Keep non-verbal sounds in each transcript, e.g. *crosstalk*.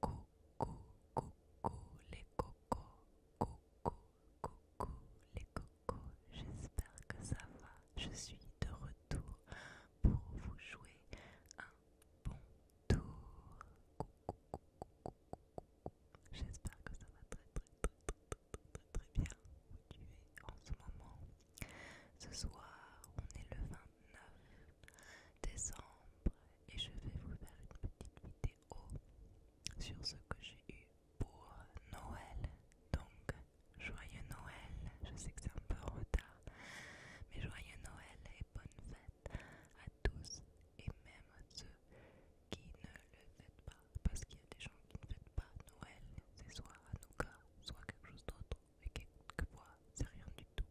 Coucou, coucou les cocos, coucou, coucou les cocos, j'espère que ça va, je suis de retour pour vous jouer un bon tour. Coucou, coucou, coucou, coucou. J'espère que ça va très très très très très très bien où tu es en ce moment. Ce soir, on est le 20 9 décembre et je vais vous faire une petite vidéo sur ce que j'ai eu pour Noël. Donc, joyeux Noël, je sais que c'est un peu en retard, mais joyeux Noël et bonne fête à tous et même à ceux qui ne le fêtent pas, parce qu'il y a des gens qui ne fêtent pas Noël, c'est soit cas soit quelque chose d'autre, et quelquefois c'est rien du tout.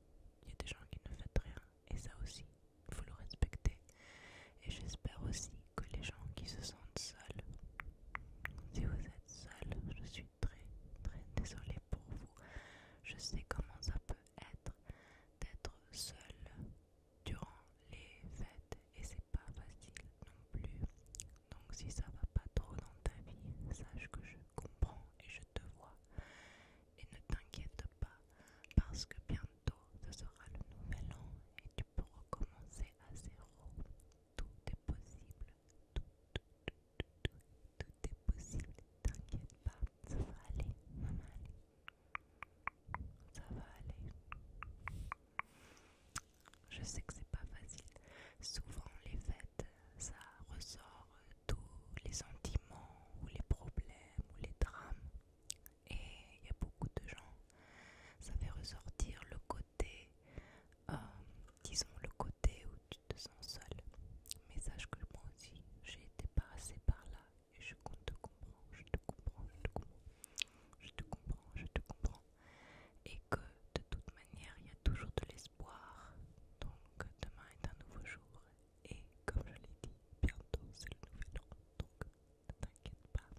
Il y a des gens qui ne fêtent rien, et ça aussi, il faut le respecter. Et j'espère aussi que les gens qui se sentent seuls, si vous êtes seul, je suis très très désolée pour vous. Je sais comment ça peut être d'être seul durant les fêtes et c'est pas facile non plus. Donc si ça va pas trop dans ta vie, sache que je comprends et je te vois et ne t'inquiète pas, parce que bientôt ce sera le nouvel an et tu peux recommencer à zéro. Tout est possible, tout, tout, est possible. T'inquiète pas, ça va aller, maman. Ça va aller. Je sais que c'est pas facile. Souvent les fêtes, ça ressort euh, tous les sentiments ou les problèmes ou les drames. Et il y a beaucoup de gens, ça fait ressortir le côté, euh, disons le côté où tu te sens seul. Mais sache que moi aussi, j'ai été passée par là et je te comprendre, je te comprends, je te comprends, je te comprends, je te comprends. Et que de toute manière, il y a toujours de l'espoir. Donc demain est un nouveau jour et comme je l'ai dit, bientôt c'est le nouvel an, donc ne t'inquiète pas.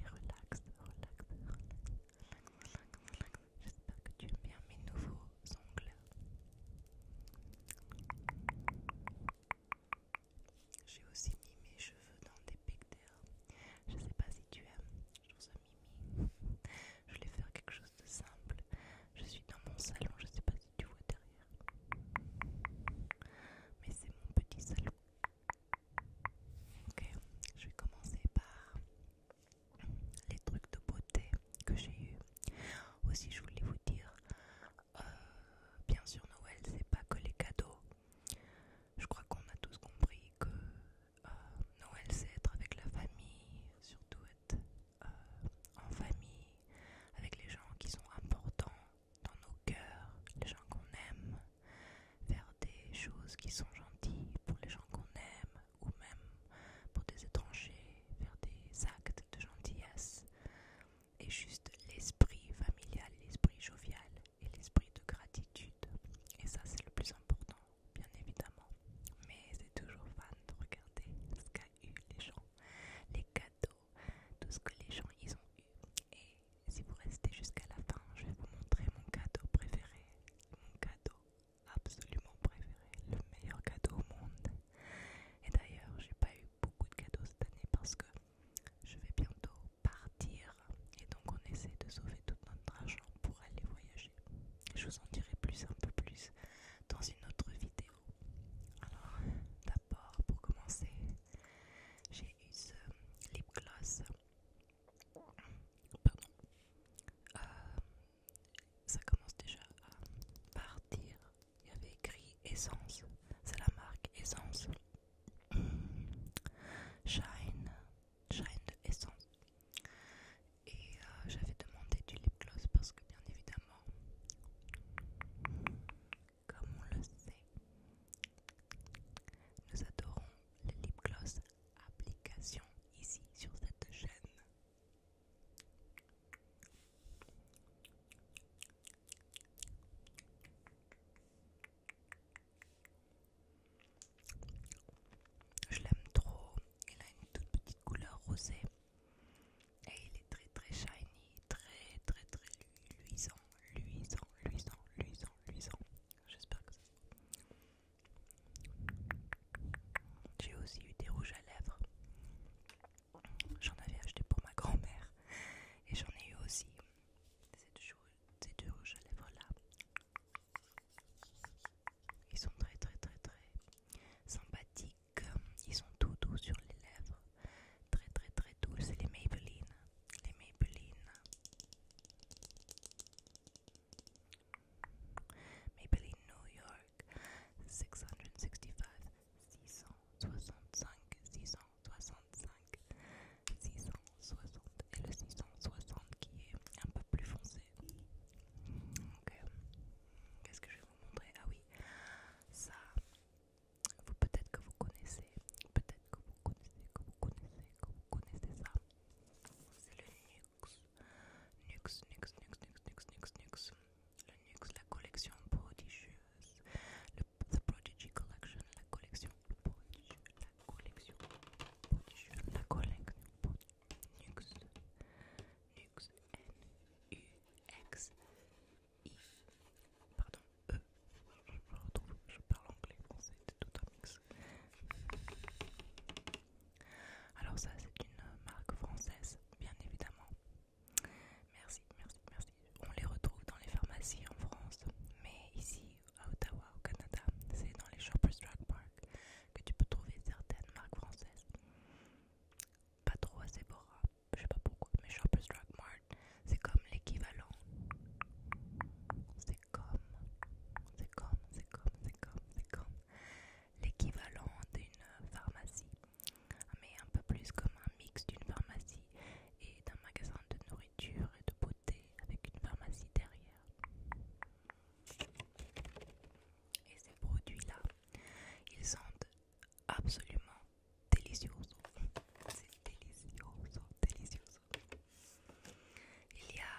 Et relaxe, relaxe, relaxe, J'espère que tu aimes bien mes nouveaux ongles. J'ai aussi mis mes cheveux dans des pecteurs. Je sais pas si tu aimes, je vous mimi. Je voulais faire quelque chose de simple. Je suis dans mon salon, je sais pas si tu vois derrière mais c'est mon petit salon. Ok, je vais commencer par les trucs de beauté que j'ai eu. Aussi, je voulais vous dire, euh, bien sûr, Noël, c'est pas que les cadeaux. Je crois qu'on a tous compris que euh, Noël, c'est être avec la famille, surtout être euh, en famille, avec les gens qui sont importants dans nos cœurs, les gens qu'on aime, faire des choses qui sont gentilles pour les gens qu'on aime, ou même pour des étrangers, faire des actes de gentillesse, et juste l'esprit familial, l'esprit jovial et l'esprit de gratitude. Et ça c'est le plus important, bien évidemment. Mais c'est toujours fun de regarder ce qu'a eu les gens, les cadeaux tout ce que les gens ils ont eu. Et si vous restez jusqu'à la fin, je vais vous montrer mon cadeau préféré, mon cadeau absolument préféré, le meilleur cadeau au monde. Et d'ailleurs, j'ai pas eu beaucoup de cadeaux cette année parce que je vais bientôt partir et donc on essaie de sauver tout notre argent pour aller voyager. Je vous en dirai plus un peu plus dans une autre vidéo. Alors, pour commencer j'ai eu ce lip gloss pardon euh, ça commence déjà à partir il y avait écrit essence c'est la marque essence shine shine essence et euh, j'avais demandé du lip gloss parce que bien évidemment comme on le sait, nous adorons les lip gloss application ici sur cette chaîne. Je l'aime trop, il a une toute petite couleur rosée et il est très très shiny, très très très luisant, luisant, luisant, luisant, luisant. J'espère que ça J'ai aussi eu des rouges à lèvres. J'en avais acheté pour ma grand-mère. Et j'en ai eu aussi ces deux, deux rouges à lèvres là. Ils sont très très très très sympathiques euh, ils sont tout doux sur les lèvres. Très très très doux. C'est les Maybelline. Les Maybelline. Maybelline New York. 665. 665. 665. 660. Et le 660 qui est un peu plus foncé. Ok. Qu'est-ce que je vais vous montrer Ah oui. Ça, vous peut-être que vous connaissez, peut-être que vous connaissez, que vous connaissez, que vous connaissez ça. C'est le Nux. Nux, Nux, Nux, Nux, Nux, Nux, Nux. Le Nux, la collection prodigieuse. Le, the Prodigy Collection, la collection prodigieuse. La collection prodigieuse. La collection prodigieuse. Nux. Nux, N-U-X. I, pardon, e, je parle anglais, français, c'est tout un mix. Alors ça c'est une marque française, bien évidemment. Merci, merci, merci. On les retrouve dans les pharmacies en France, mais ici à Ottawa, au Canada, c'est dans les Shoppers Drug Park que tu peux trouver certaines marques françaises. Pas trop à Sephora, je sais pas pourquoi, mais Shoppers Drug Mart, c'est comme l'équivalent. C'est comme, c'est comme, c'est comme, c'est comme, c'est comme l'équivalent d'une pharmacie, mais un peu plus comme un mix d'une pharmacie et d'un magasin de nourriture et de beauté avec une pharmacie derrière. Et ces produits-là, ils sentent absolument délicieux, C'est délicieux, délicieux. Il y a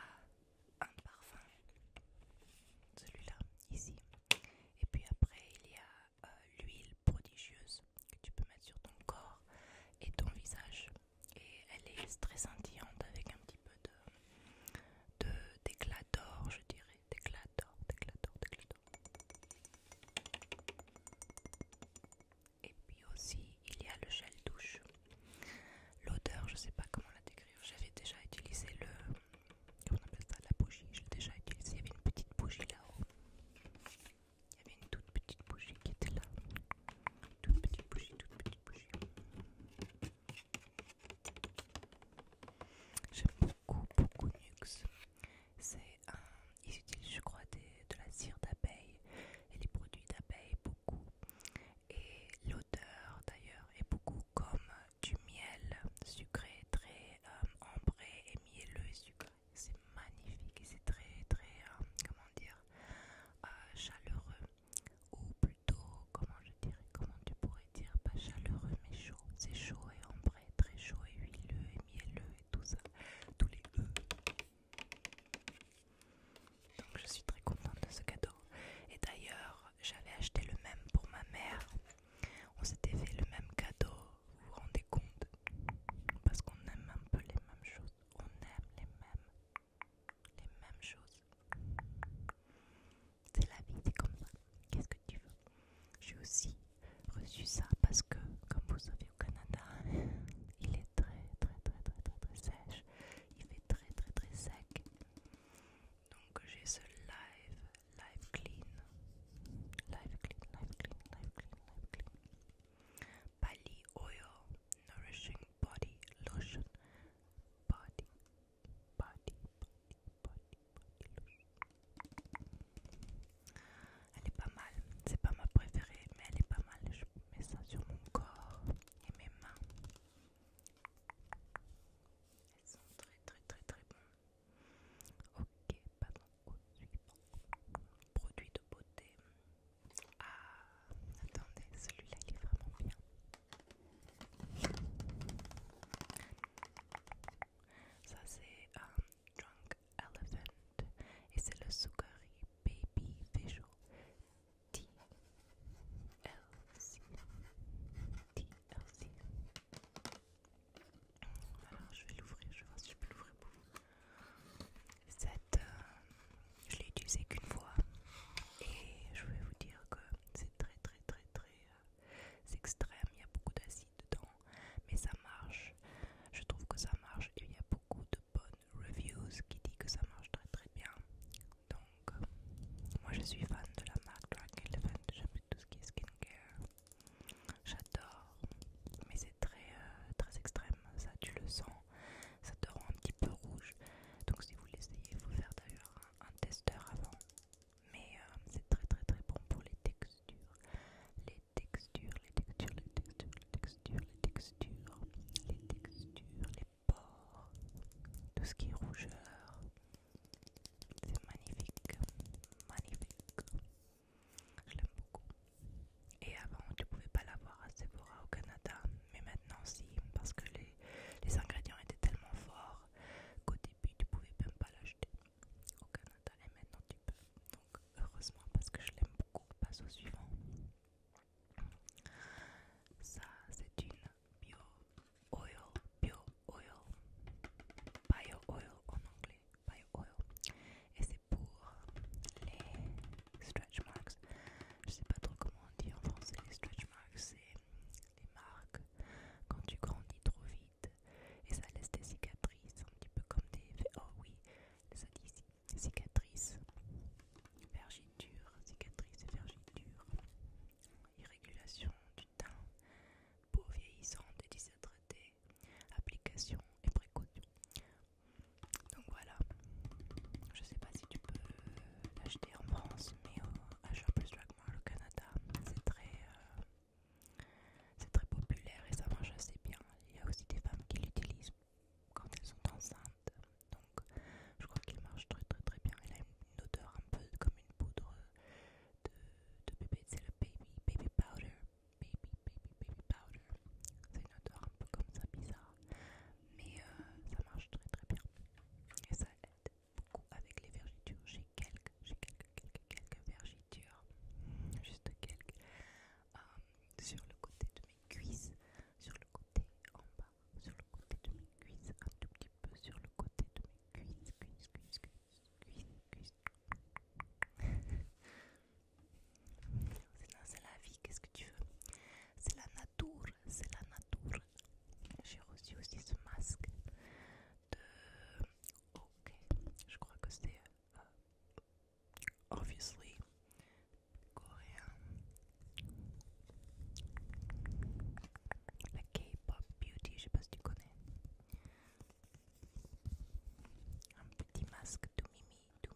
un parfum, celui-là, ici. Et puis après, il y a euh, l'huile prodigieuse que tu peux mettre sur ton corps et ton visage. Et elle est très scintillante avec un petit peu de d'éclat d'or, je dirais. D'éclat d'or, d'éclat d'or, d'éclat et puis aussi, il y a le gel douche. L'odeur, je ne sais pas comment la décrire. J'avais déjà utilisé le. Comment on appelle ça La bougie. J'ai déjà utilisé. Il y avait une petite bougie là-haut. Il y avait une toute petite bougie qui était là. Toute petite bougie, toute petite bougie beaucoup, beaucoup Nuxe C'est ils utilisent je crois de la cire d'abeille et les produits d'abeille beaucoup. Et l'odeur d'ailleurs est beaucoup comme du miel sucré, très ombré euh, et mielleux sucré. C'est magnifique et c'est très, très, euh, comment dire, euh, chaleureux. Ou plutôt, comment je dirais, comment tu pourrais dire, pas chaleureux mais chaud. C'est chaud et ambré, très chaud et huileux et mielleux et tout ça, tous les E. Donc je suis très contente de ce cadeau. Et d'ailleurs, j'avais acheté le même pour ma mère. On s'était fait le même cadeau, vous vous rendez compte Parce qu'on aime un peu les mêmes choses. On aime les mêmes, les mêmes choses. C'est la vie, c'est comme ça. Qu'est-ce que tu veux j'ai aussi reçu ça parce que, comme vous savez, au Canada, *laughs* il est très, très, très, très, très, très sèche. Il fait très, très, très sec. Donc j'ai ce live, live clean, live clean, live clean, live clean, live clean. Bali Oil Nourishing Body Lotion. Body, body, body, body, body lotion. Elle est pas mal, c'est pas ma préférée, mais elle est pas mal. Je mets ça sur mon corps et mes mains. Elles sont très très très très bonnes. Ok, oh, Produit de beauté. Ah, attendez, celui-là il est vraiment bien. Ça c'est un euh, Drunk Elephant et c'est le Sugari Baby Visual TLC. TLC. Alors je vais l'ouvrir, je vais voir si je peux l'ouvrir pour vous. Cette, euh, je l'ai utilisé qu'une fois et je vais vous dire que c'est très très très très euh, extrême. Il y a beaucoup d'acide dedans, mais ça marche. Je trouve que ça marche il y a beaucoup de bonnes reviews qui dit que ça marche très très bien. Donc, moi je suis fan de la marque Drag Elephant, j'aime tout ce qui est skincare. J'adore, mais c'est très euh, très extrême, ça tu le sens, ça te rend un petit peu rouge. Donc si vous l'essayez, il faut faire d'ailleurs un, testeur avant. Mais euh, c'est très très très bon pour les textures, textures, les textures, les textures, les textures, les textures, les textures, les pores, tout ce qui est rougeur. C'est magnifique, magnifique. Je l'aime beaucoup. Et avant, tu pouvais pas l'avoir à Sephora au Canada, mais maintenant si, parce que les, les ingrédients étaient tellement forts qu'au début, tu pouvais même pas l'acheter au Canada, et maintenant tu peux heureusement parce que je l'aime beaucoup, passe au suivant. Ça c'est une bio oil, bio oil, bio oil en anglais, bio oil. Et c'est pour les stretch marks. Je sais pas trop comment on dit en français les stretch marks, c'est les marques quand tu grandis trop vite et ça laisse des cicatrices, un petit peu comme des... Oh oui, les cicatrices cicatrices, vergiture, cicatrices et vergiture, irrégulation du teint, peau vieillissante et déshydratée, application et précaution. Donc voilà, je sais pas si tu peux euh, l'acheter en France, mais euh, à H Plus Drug au Canada, c'est très. Euh, c'est très populaire et ça marche assez bien. Il y a aussi des femmes qui l'utilisent quand elles sont enceintes. Donc je crois qu'il marche très très très bien. Il a une odeur un peu comme une poudre de, bébé. C'est le baby baby powder. Baby baby baby powder. C'est une odeur un peu comme ça bizarre. Mais euh, ça marche très très bien. Et ça aide beaucoup avec les vergitures. J'ai quelques, j'ai quelques, quelques, quelques vergitures. Juste quelques. Euh, sur le côté de mes cuisses, sur le côté en bas, sur le côté de mes cuisses, un tout petit peu sur le côté de mes cuisses, cuisses, cuisses, cuisses, cuisses, c'est la vie, qu'est-ce que tu veux C'est la nature, c'est la nature. J'ai reçu aussi ce masque de... Ok, je crois que c'est... Euh, obviously Korean la K-pop beauty, je sais pas si tu connais. Un petit masque tout mimi, tout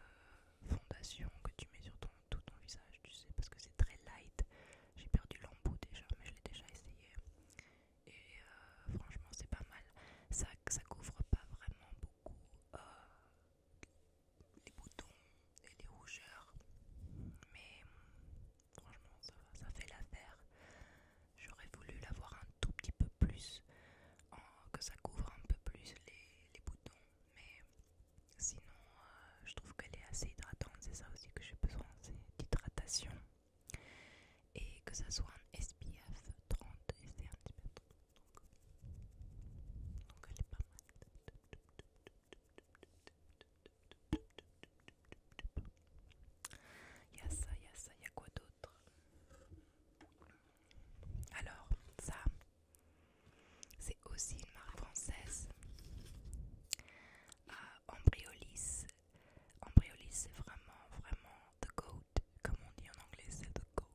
Euh, fondation que tu mets sur ton, tout ton visage, tu sais, parce que c'est très light. J'ai perdu l'embout déjà, mais je l'ai déjà essayé. Et euh, franchement, c'est pas mal. Ça, ça couvre pas vraiment beaucoup euh, les boutons et les rougeurs, mais franchement, ça, ça fait l'affaire. J'aurais voulu l'avoir un tout petit peu plus Oh, que ça couvre un peu plus les, boutons. Mais sinon, euh, je trouve qu'elle est assez hydratante. C'est ça aussi que j'ai besoin, c'est d'hydratation. Et que ça soit un SPF 30 et c'est un petit donc, donc elle est pas mal. Il y a ça, il y a ça, il y a quoi d'autre alors, ça, c'est aussi une marque française. Embryolisse ah, Embryolis. c'est vraiment, vraiment the goat. Comme on dit en anglais, c'est the goat.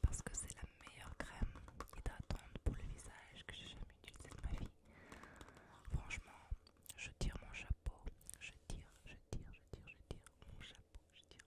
Parce que c'est la meilleure crème hydratante pour le visage que j'ai jamais utilisée de ma vie. Franchement, je tire mon chapeau. Je tire, je tire, je tire, je tire mon chapeau. Je tire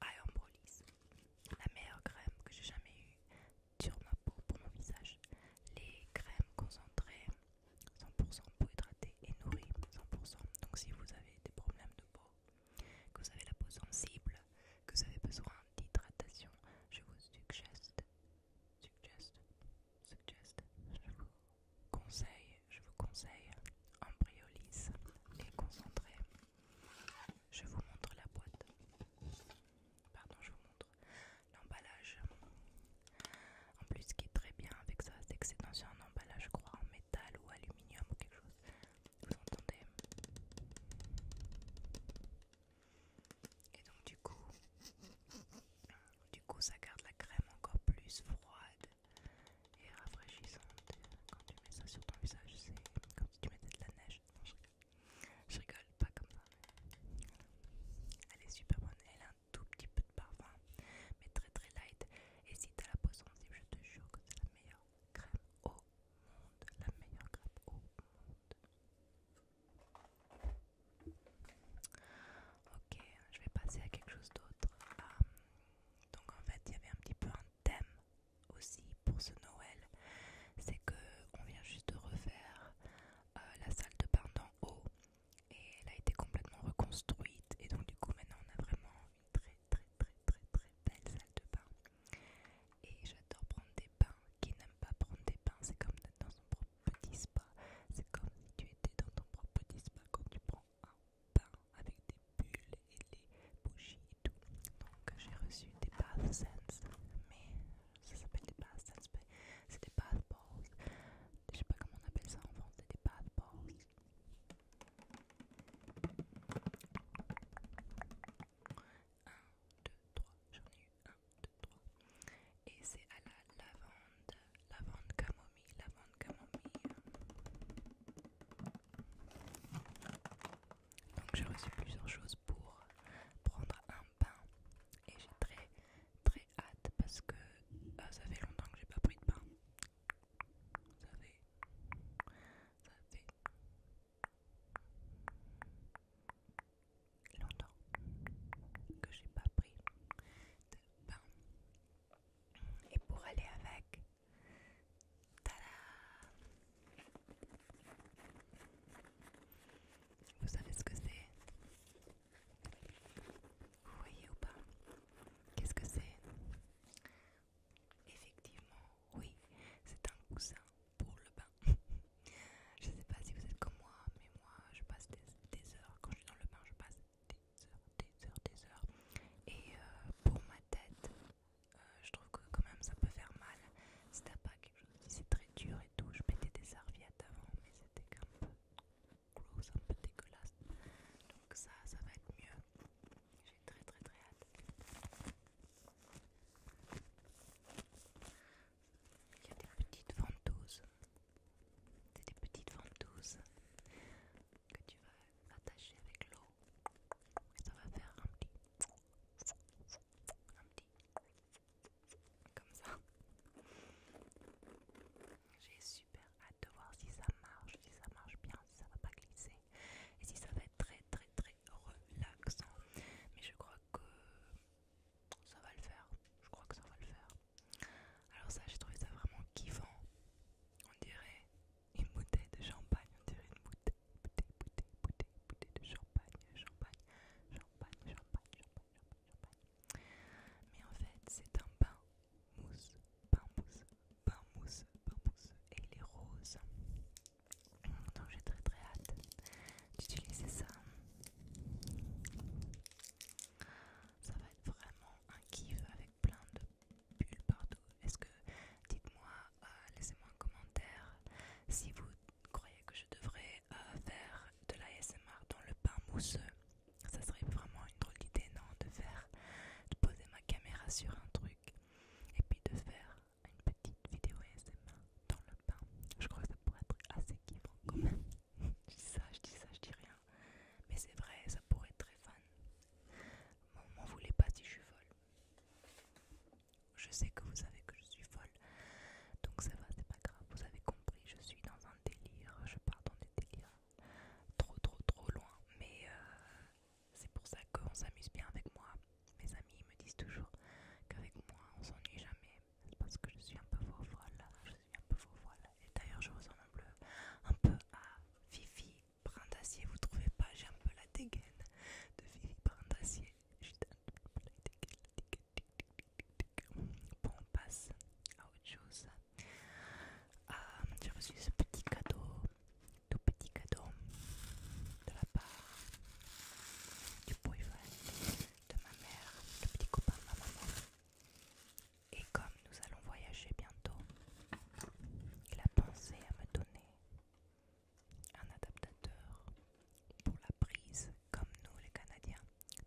à la meilleure crème que j'ai jamais eue sur ma peau pour mon visage. Les crèmes concentrées 100% pour hydrater et nourrir. 100%. Donc si vous avez des problèmes de peau, que vous avez la peau sensible, que vous avez besoin d'hydratation, je vous suggeste, suggeste, suggeste, je vous conseille, je vous conseille Embryolis les concentrées je vous montre la boîte. Pardon, je vous montre l'emballage. En plus, ce qui est très bien avec ça, c'est que c'est dans un emballage, je crois, en métal ou aluminium ou quelque chose. Vous entendez Et donc, du coup, du coup, ça garde la crème encore plus froide et rafraîchissante tu mets ça sur ton visage, c'est comme si tu mettais de la neige. je rigole. pas comme ça. Elle est super bonne. Elle a un tout petit peu de parfum, mais très très light. Et si t'as la peau sensible, je te jure que c'est la meilleure crème au monde. La meilleure crème au monde. Ok, je vais passer à quelque chose d'autre. Euh, donc en fait, il y avait un petit peu un thème aussi pour ce Noël, c'est que on vient juste de refaire euh, la salle de bain d'en haut et elle a été complètement reconstruite et donc du coup maintenant on a vraiment une très très très très très belle salle de bain et j'adore prendre des bains. Qui n'aime pas prendre des bains, c'est comme d'être dans son propre petit spa. C'est comme si tu étais dans ton propre petit spa quand tu prends un pain avec des bulles et les bougies et tout, donc j'ai reçu des bathsense. Mais ça s'appelle des bathsense, c'est des bath balls. Je sais pas comment on appelle ça en France. C'est des bath balls. 1, 2, 3. J'en ai eu 1, 2, 3. Et c'est à la lavande, lavande camomille, lavande camomille. Donc j'ai reçu plusieurs choses pour prendre un pain et j'ai très très hâte parce que euh, ça fait longtemps que j'ai pas pris de pain. Ça fait... Ça fait... Longtemps que j'ai pas pris de pain. Et pour aller avec, vous savez ce que c'est Vous voyez ou pas Qu'est-ce que c'est Effectivement, oui, c'est un coussin pour le bain. *laughs* je sais pas si vous êtes comme moi, mais moi je passe des, heures, quand je suis dans le bain, je passe des heures, des heures, des heures. Et euh, pour ma tête, euh, je trouve que quand même ça peut faire mal si t'as pas quelque chose c'est très dur et tout. Je mettais des serviettes avant, mais c'était un peu gross, un peu dégueulasse. Donc ça, ça va être mieux. J'ai très très très hâte. Il y a des petites ventouses. C'est des petites ventouses que tu vas attacher avec l'eau. Et ça va faire un petit comme ça. J'ai super hâte de voir si ça marche, si ça marche bien, si ça va pas glisser et si ça va être très très très relaxant. Mais je crois que ça va le faire. Je crois que ça va le faire. Alors ça, j'ai trouvé ça vraiment kiffant. On dirait une bouteille de champagne, on dirait une bouteille, bouteille, bouteille, bouteille, bouteille de champagne, champagne, champagne, champagne, champagne, champagne, champagne. Mais en fait, c'est un pain mousse, bain mousse, bain mousse, bain mousse, et les roses. rose. Donc j'ai très très hâte d'utiliser ça. Ça va être vraiment un kiff avec plein de bulles partout. Est-ce que, dites-moi euh, laissez-moi un commentaire si vous croyez que je devrais euh, faire de l'ASMR dans le pain mousseux. Ça serait vraiment une drôle d'idée, non De faire, de poser ma caméra sur un truc et puis de faire une petite vidéo ASMR dans le pain. Je crois que ça pourrait être assez kiffant quand même. *laughs* je dis ça, je dis ça, je dis rien. Mais c'est vrai, ça pourrait être très fun. M'en voulez pas si je suis folle. Je sais que vous savez que je suis folle, donc ça va, c'est pas grave. Vous avez compris, je suis dans un délire, je pars dans des délires trop, trop, trop loin. Mais euh, c'est pour ça qu'on s'amuse bien avec moi. Mes amis me disent toujours qu'avec moi on s'ennuie jamais. parce que je suis un peu faux folle, je suis un peu faux folle. Et d'ailleurs, je ressemble un peu, un peu à Fifi Brindacier. Vous trouvez pas J'ai un peu la dégaine de Fifi Brandassier. Bon, on passe à autre chose. je euh, J'ai ce petit cadeau, tout petit cadeau de la part du boyfriend de ma mère, de petit copain de ma maman. Et comme nous allons voyager bientôt, il a pensé à me donner un adaptateur pour la prise. Comme nous les Canadiens,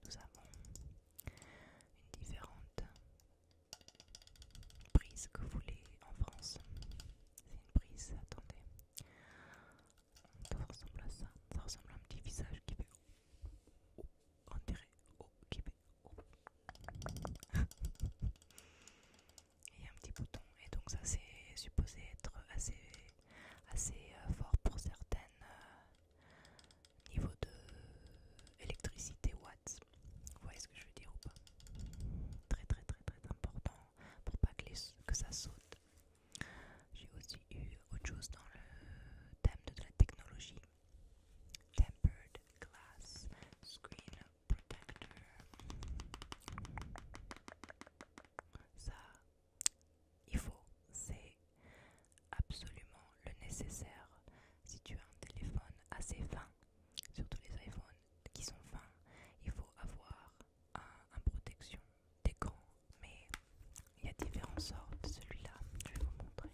nous avons une différente prise que vous voulez en France. C'est une prise, attendez. Ça ressemble à ça. Ça ressemble à un petit visage qui fait... Oh, on *laughs* et un petit bouton et donc ça c'est supposé être assez assez euh, fort pour certaines euh, niveaux de électricité watts vous voyez ce que je veux dire ou pas très très très très important pour pas que, les, que ça saute j'ai aussi eu autre chose dans le thème de la technologie tempered glass screen protector ça, il faut. C'est absolument le nécessaire. Si tu as un téléphone assez fin, surtout les iPhones qui sont fins, il faut avoir un, protection d'écran. Mais il y a différentes sortes. Celui-là, je vais vous montrer.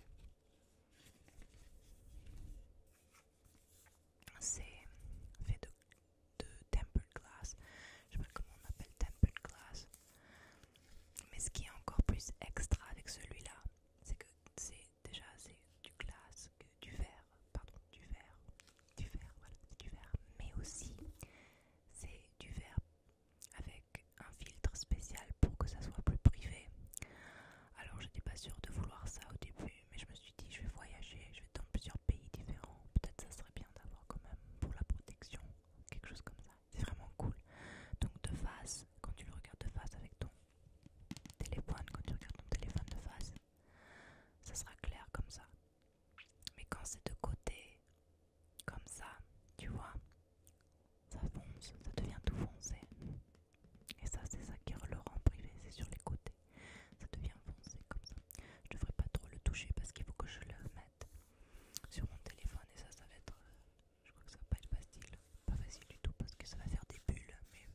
C'est fait de de tempered glass. Je sais pas comment on appelle tempered glass. Mais ce qui est encore plus extra avec celui-là, c'est que c'est déjà c'est du glass que du verre, pardon, du verre, du verre, voilà, c'est du verre. Mais aussi, c'est du verre avec un filtre spécial pour que ça soit plus privé. Alors, je n'étais pas sûre de vouloir ça au début, mais je me me dis je vais voyager, je vais dans plusieurs pays différents. Peut-être ça serait bien d'avoir quand même pour la protection quelque chose comme ça. C'est vraiment cool. Donc de face, quand tu le regardes de face avec ton téléphone, quand tu regardes ton téléphone de face, ça sera clair comme ça. Mais quand c'est de côté, comme ça, tu vois, ça fonce, ça devient tout foncé. Et ça, c'est ça qui le rend privé, c'est sur les côtés ça devient foncé comme ça. Je devrais pas trop le toucher parce qu'il faut que je le mette sur mon téléphone et ça, ça va être. Euh, je crois que ça va pas être facile, pas facile du tout parce que ça va faire des bulles. Mais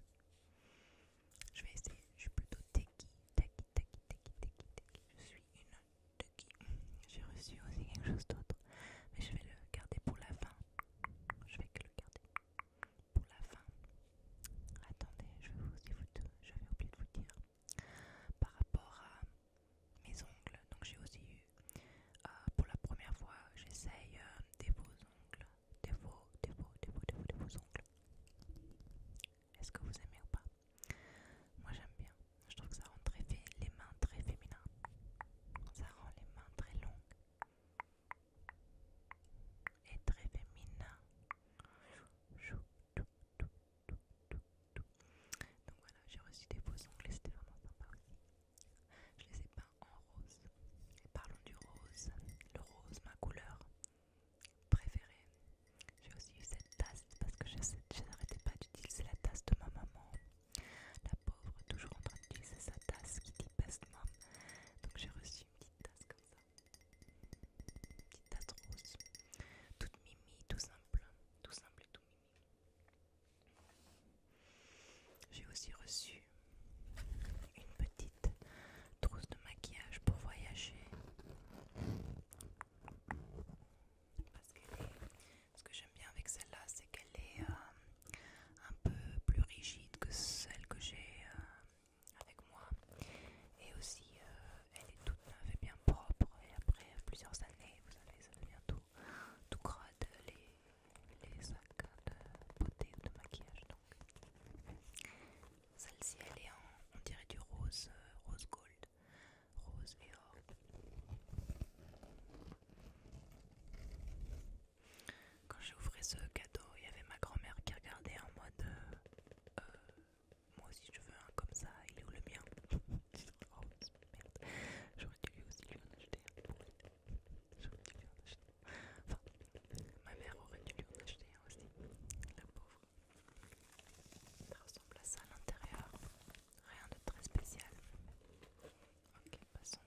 je vais essayer. Je suis plutôt techie, Je suis une techie. J'ai reçu aussi quelque chose d'autre, mais je vais le garder pour la fin. Je vais que le garder pour la fin. Attendez, je vais vous, je vais oublier de vous dire. Par rapport à mes ongles, donc j'ai aussi eu euh, pour la première fois, j'essaye euh, des beaux ongles, des beaux, des beaux, des beaux, des beaux, ongles. Est-ce que vous aimez ou pas Moi j'aime bien. Je trouve que ça rend très les mains très féminins Ça rend les mains très longues et très féminines. Donc voilà, j'ai reçu des beaux ongles, c'était vraiment pas pareil, Je les ai peints en rose. Et parlons du rose. Le rose, ma couleur préférée. J'ai aussi eu cette tasse parce que je, n'arrêtais pas d'utiliser la tasse de ma maman. La pauvre, toujours en train d'utiliser sa tasse qui dépasse moi, Donc j'ai reçu une petite tasse comme ça. Petite trousse, Toute mimi, tout simple. Hein. Tout simple et tout mimi. J'ai aussi reçu une petite trousse de maquillage pour voyager. Parce que ce que j'aime bien avec celle-là, c'est qu'elle est, euh, un peu plus rigide que celle que j'ai euh, avec moi et aussi euh, elle est toute neuve et bien propre et après plusieurs années vous allez bientôt tout, tout les, les sacs de beauté de maquillage donc celle-ci elle est en on dirait du rose euh, rose gold rose et or quand j'ai ouvert ce cadeau, il y avait ma grand-mère qui regardait en mode euh, euh moi aussi je veux un comme ça, il est où le mien *laughs* Oh merde, j'aurais dû lui aussi lui en acheter un J'aurais dû en acheter Enfin, ma mère aurait dû lui en acheter un aussi, la pauvre. Ça ressemble à ça à l'intérieur, rien de très spécial. Ok, passons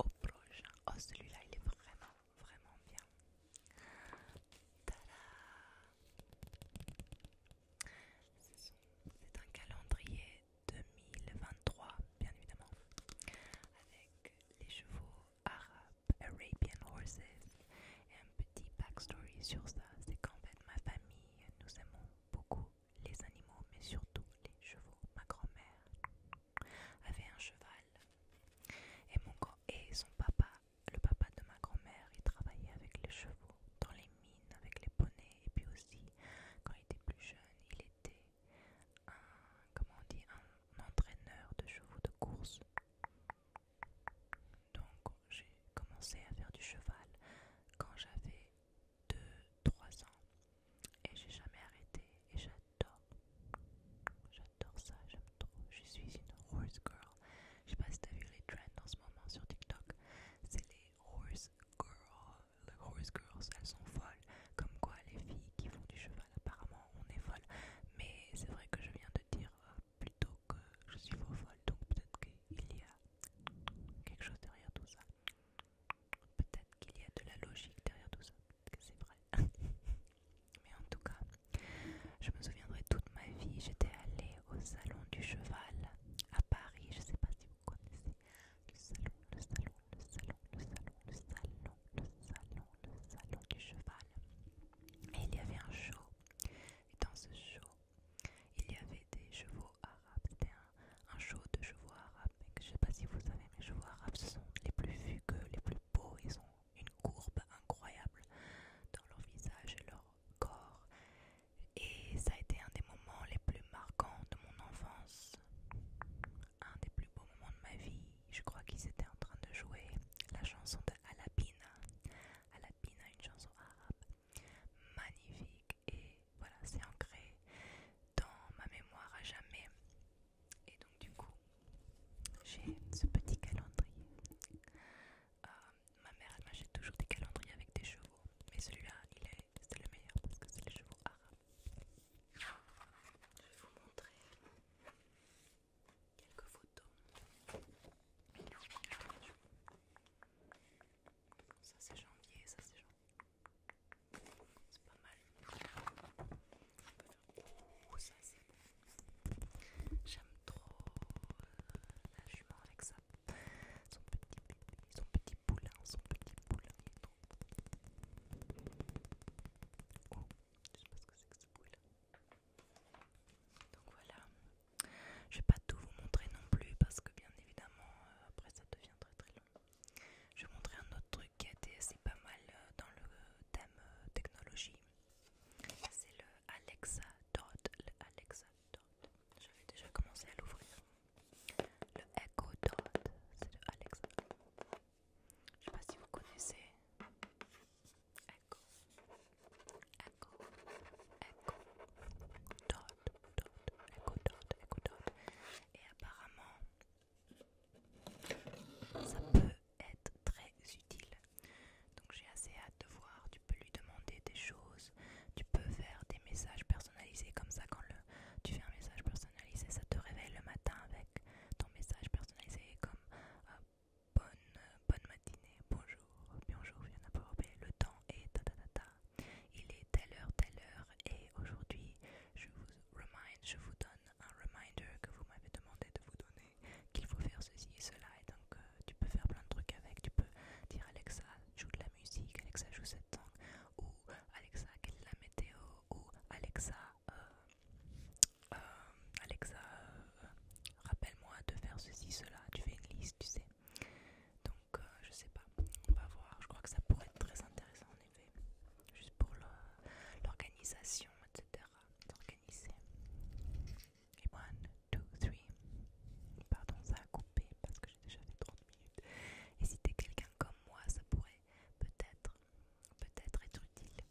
au oh, prochain. Oh celui-là il est vraiment, vraiment bien. C'est un calendrier 2023, bien évidemment, avec les chevaux arabes, Arabian Horses, et un petit backstory sur ça. C'est qu'en fait, ma famille, nous aimons beaucoup les animaux, mais surtout les chevaux. Ma grand-mère avait un cheval et, mon et son papa le papa de ma grand-mère, il travaillait avec les chevaux, dans les mines, avec les poneys, et puis aussi, quand il était plus jeune, il était un, comment on dit, un entraîneur de chevaux de course. Donc j'ai commencé à faire du cheval quand j'avais 2-3 ans et j'ai jamais arrêté et j'adore. J'adore ça, je suis une horse girl. Je sais pas si t'as vu les trends en ce moment sur TikTok. C'est les horse girls. Les horse girls, elles sont folles. Comme quoi, les filles qui font du cheval, apparemment, on est folle. Mais c'est vrai que je viens de dire euh, plutôt que je suis faux folle. Donc peut-être qu'il y a quelque chose derrière tout ça. Peut-être qu'il y a de la logique derrière tout ça. Peut-être que c'est vrai. *laughs* Mais en tout cas, je me souviendrai toute ma vie, j'étais allée au salon du cheval à Paris, je ne sais pas si vous connaissez le salon, le salon, le salon, le salon, le salon, le salon, le salon du cheval. Et il y avait un show, et dans ce show, il y avait des chevaux arabes, c'était un, show de chevaux arabes, je ne sais pas si vous savez, mais chevaux arabes ce sont les plus fugueux, les plus beaux, ils ont une courbe incroyable dans leur visage et leur corps. Et ça a été un des moments les plus marquants de mon enfance. Un des plus beaux moments de ma vie. Je crois qu'ils étaient en train de jouer la chanson de Alabina Alabina une chanson arabe. Magnifique. Et voilà, c'est ancré dans ma mémoire à jamais. Et donc du coup, j'ai ce petit calendrier. Euh, ma mère elle m'achète toujours des calendriers avec des chevaux. Mais celui-là, il est, c'est le meilleur parce que c'est les chevaux arabes. Je vais vous montrer quelques photos. Ça c'est janvier, ça c'est janvier. C'est pas mal. ça c'est J'aime trop euh, la jument avec ça. Son petit boulin, son petit Oh, je sais pas ce que c'est que ce poulet. Donc voilà, je vais pas tout vous montrer non plus parce que bien évidemment euh, après ça devient très très long. Je vais montrer un autre truc qui a été assez pas mal euh, dans le thème technologie. C'est le Alexa Dot, le Alexa je vais déjà commencer à l'ouvrir. Le Echo Dot, c'est de Alexa. Je ne sais pas si vous connaissez. Echo. Echo. Echo. Dot. Dot. Echo Dot. Echo Dot. Et apparemment, ça peut être très utile. Donc j'ai assez hâte de voir tu peux lui demander des choses, tu peux faire des messages personnalisés comme ça quand le, tu fais un message personnalisé, ça te réveille le matin avec ton message personnalisé comme euh, bonne, bonne matinée, bonjour, bonjour, il le temps est ta ta ta il est telle heure, telle heure et aujourd'hui je vous je vous donne un reminder que vous m'avez demandé de vous donner qu'il faut faire ceci et cela et donc euh, tu peux faire plein de trucs avec tu peux dire Alexa joue de la musique Alexa joue cette langue ou Alexa quelle est la météo ou Alexa euh, euh, Alexa rappelle-moi de faire ceci cela tu fais une liste tu sais donc je sais pas on va voir je crois que ça pourrait être très intéressant en effet juste pour l'organisation etc d'organiser et 2, 3. Pardon, ça a coupé parce que j'ai déjà fait 30 minutes. Et si t'es quelqu'un comme moi, ça pourrait peut-être peut-être être utile.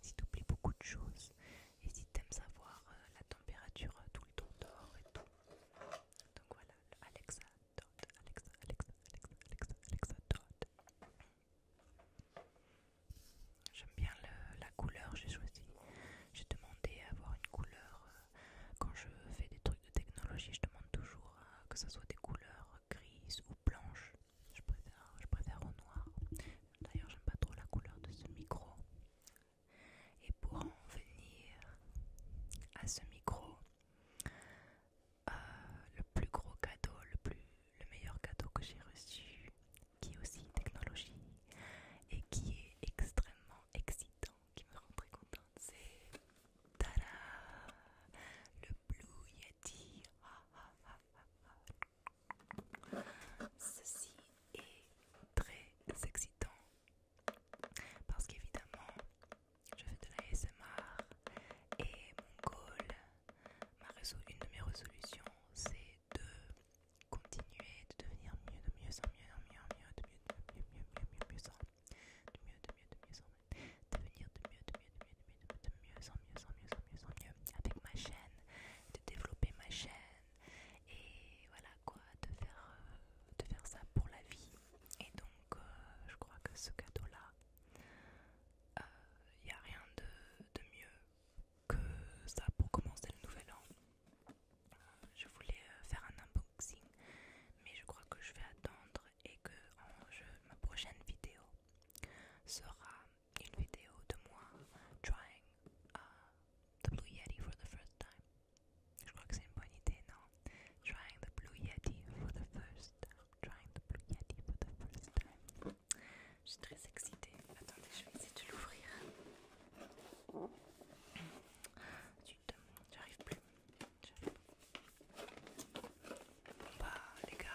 Si t'oublies beaucoup de choses et si t'aimes savoir euh, la température euh, tout le temps dehors et tout. Donc voilà, Alexa Dot, Alexa, Alexa, Alexa, Alexa, Alexa Dot. J'aime bien la couleur, que j'ai choisi j'ai demandé à avoir une couleur. Euh, quand je fais des trucs de technologie, je demande toujours euh, que ce soit des couleurs grises ou blanches. Je préfère, je préfère au noir. D'ailleurs, j'aime pas trop la couleur de ce micro. Et pour en venir à ce micro, euh, le plus gros cadeau, le, plus, le meilleur cadeau que j'ai reçu, qui est aussi technologie et qui est extrêmement excitant, qui me rend très contente. C'est Tada Le Blue Yeti Ceci est très excitant parce qu'évidemment je fais de la SMR et mon goal, une de mes résolutions c'est de continuer, de devenir mieux, de mieux en mieux, mieux en mieux, de mieux, mieux, mieux, mieux, de mieux, de mieux, de mieux devenir de mieux, de mieux, de mieux, de mieux, de mieux en mieux, mieux, mieux, avec ma chaîne, de développer ma chaîne et voilà quoi, de faire, de faire ça pour la vie. Et donc, je crois que ce cadeau-là, il n'y a rien de, de mieux que ça pour commencer le nouvel an je voulais euh, faire un unboxing, mais je crois que je vais attendre et que ma prochaine vidéo sera une vidéo de moi trying uh, the Blue Yeti for the first time. Je crois que c'est une bonne idée, non? Trying the Blue Yeti for the first Trying the Blue Yeti for the first time. Je suis très excitée. Attendez, je vais essayer de l'ouvrir j'arrive plus. Bon bah les gars,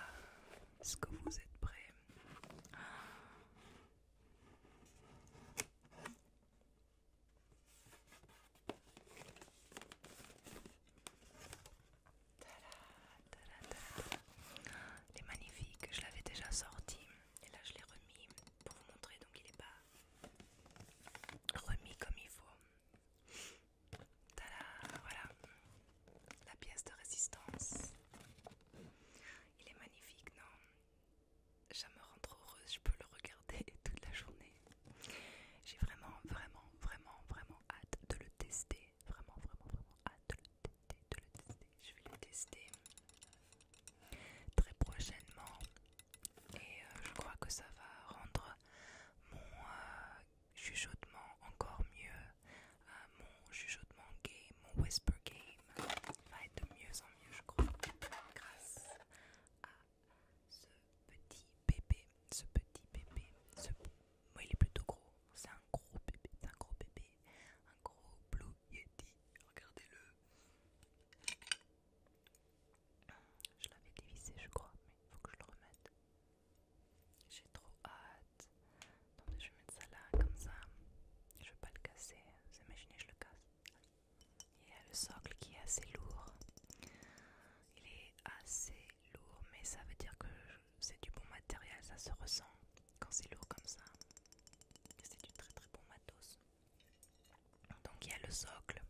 est-ce que vous êtes prêts il est magnifique, je l'avais déjà sorti et là je l'ai remis pour vous montrer donc il est pas remis comme il faut. voilà la pièce de résistance. Il est magnifique, non Ça me rend trop heureuse, je peux le regarder *laughs* toute la journée. J'ai vraiment, vraiment, vraiment, vraiment hâte de le tester. Vraiment, vraiment, vraiment hâte de le tester. De le tester. Je vais le tester très prochainement et euh, je crois que ça va rendre mon euh, chuchotement encore mieux, euh, mon chuchotement game, mon whisper game va être de mieux en mieux je crois grâce à ce petit bébé, ce petit bébé, ce... Moi, il est plutôt gros, c'est un gros bébé, c'est un gros bébé, un gros blue yeti, regardez-le. Je l'avais dévissé, je crois, mais il faut que je le remette. J'ai trop hâte. je vais mettre ça là, comme ça. Je veux pas le casser. Vous imaginez, je le casse. Il y a le socle qui est assez lourd. Il est assez lourd, mais ça veut dire que c'est du bon matériel, ça se ressent quand c'est lourd comme ça. C'est du très très bon matos. Donc il y a le socle.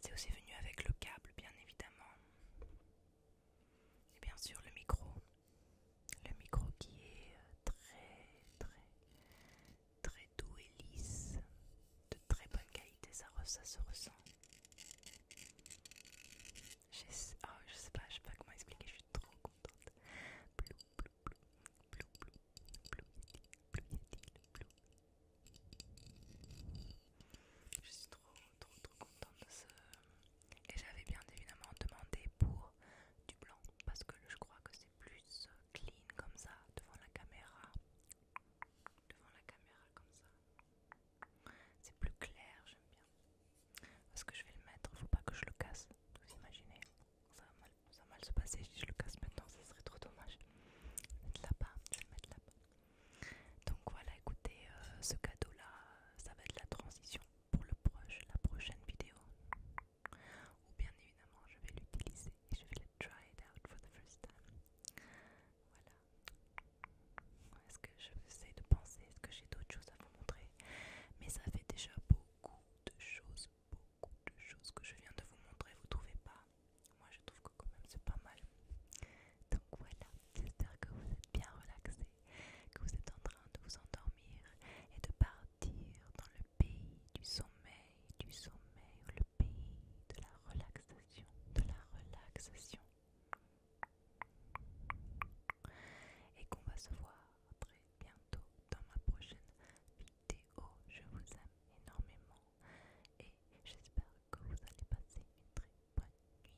C'est aussi venu avec le câble, bien évidemment. Et bien sûr le micro. Le micro qui est euh, très très très doux et lisse. De très bonne qualité, ça, ça se ressent. Oh, je sais, je pas, je sais pas comment expliquer, je suis trop contente. Blue, blue, blue, blue, Je suis trop, trop, trop contente de ce. Et j'avais bien évidemment demandé pour du blanc parce que je crois que c'est plus clean comme ça devant la caméra. Devant la caméra comme ça. C'est plus clair, j'aime bien. Parce que je vais le mettre, faut pas que je le casse. Vous imaginez Ça ça va mal se passer. Si je le casse maintenant, ça serait trop dommage. Mettre là-bas, je vais le mettre là-bas. Donc voilà, écoutez, euh, ce cadeau-là, ça va être la transition pour le proche, la prochaine vidéo. Ou bien évidemment, je vais l'utiliser et je vais le try it out for the first time. Voilà. Est-ce que je essayer de penser Est-ce que j'ai d'autres choses à vous montrer Mais ça fait déjà beaucoup de choses, beaucoup de choses que je viens de vous montrer, vous trouvez pas Moi je trouve que quand même c'est pas mal. Donc voilà, j'espère que vous êtes bien relaxé que vous êtes en train de vous endormir et de partir dans le pays du sommeil, du sommeil, le pays de la relaxation, de la relaxation. Et qu'on va se voir très bientôt dans ma prochaine vidéo. Je vous aime énormément et j'espère que vous allez passer une très bonne nuit.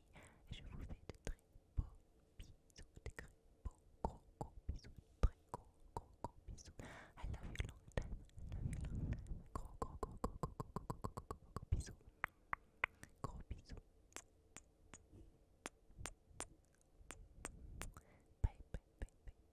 je vous fais de très beaux bisous, de très beaux gros gros bisous, très gros gros gros bisous. I love you long I love you Gros gros gros gros gros gros gros gros gros gros gros bisous. Gros bisous. Bye bye bye bye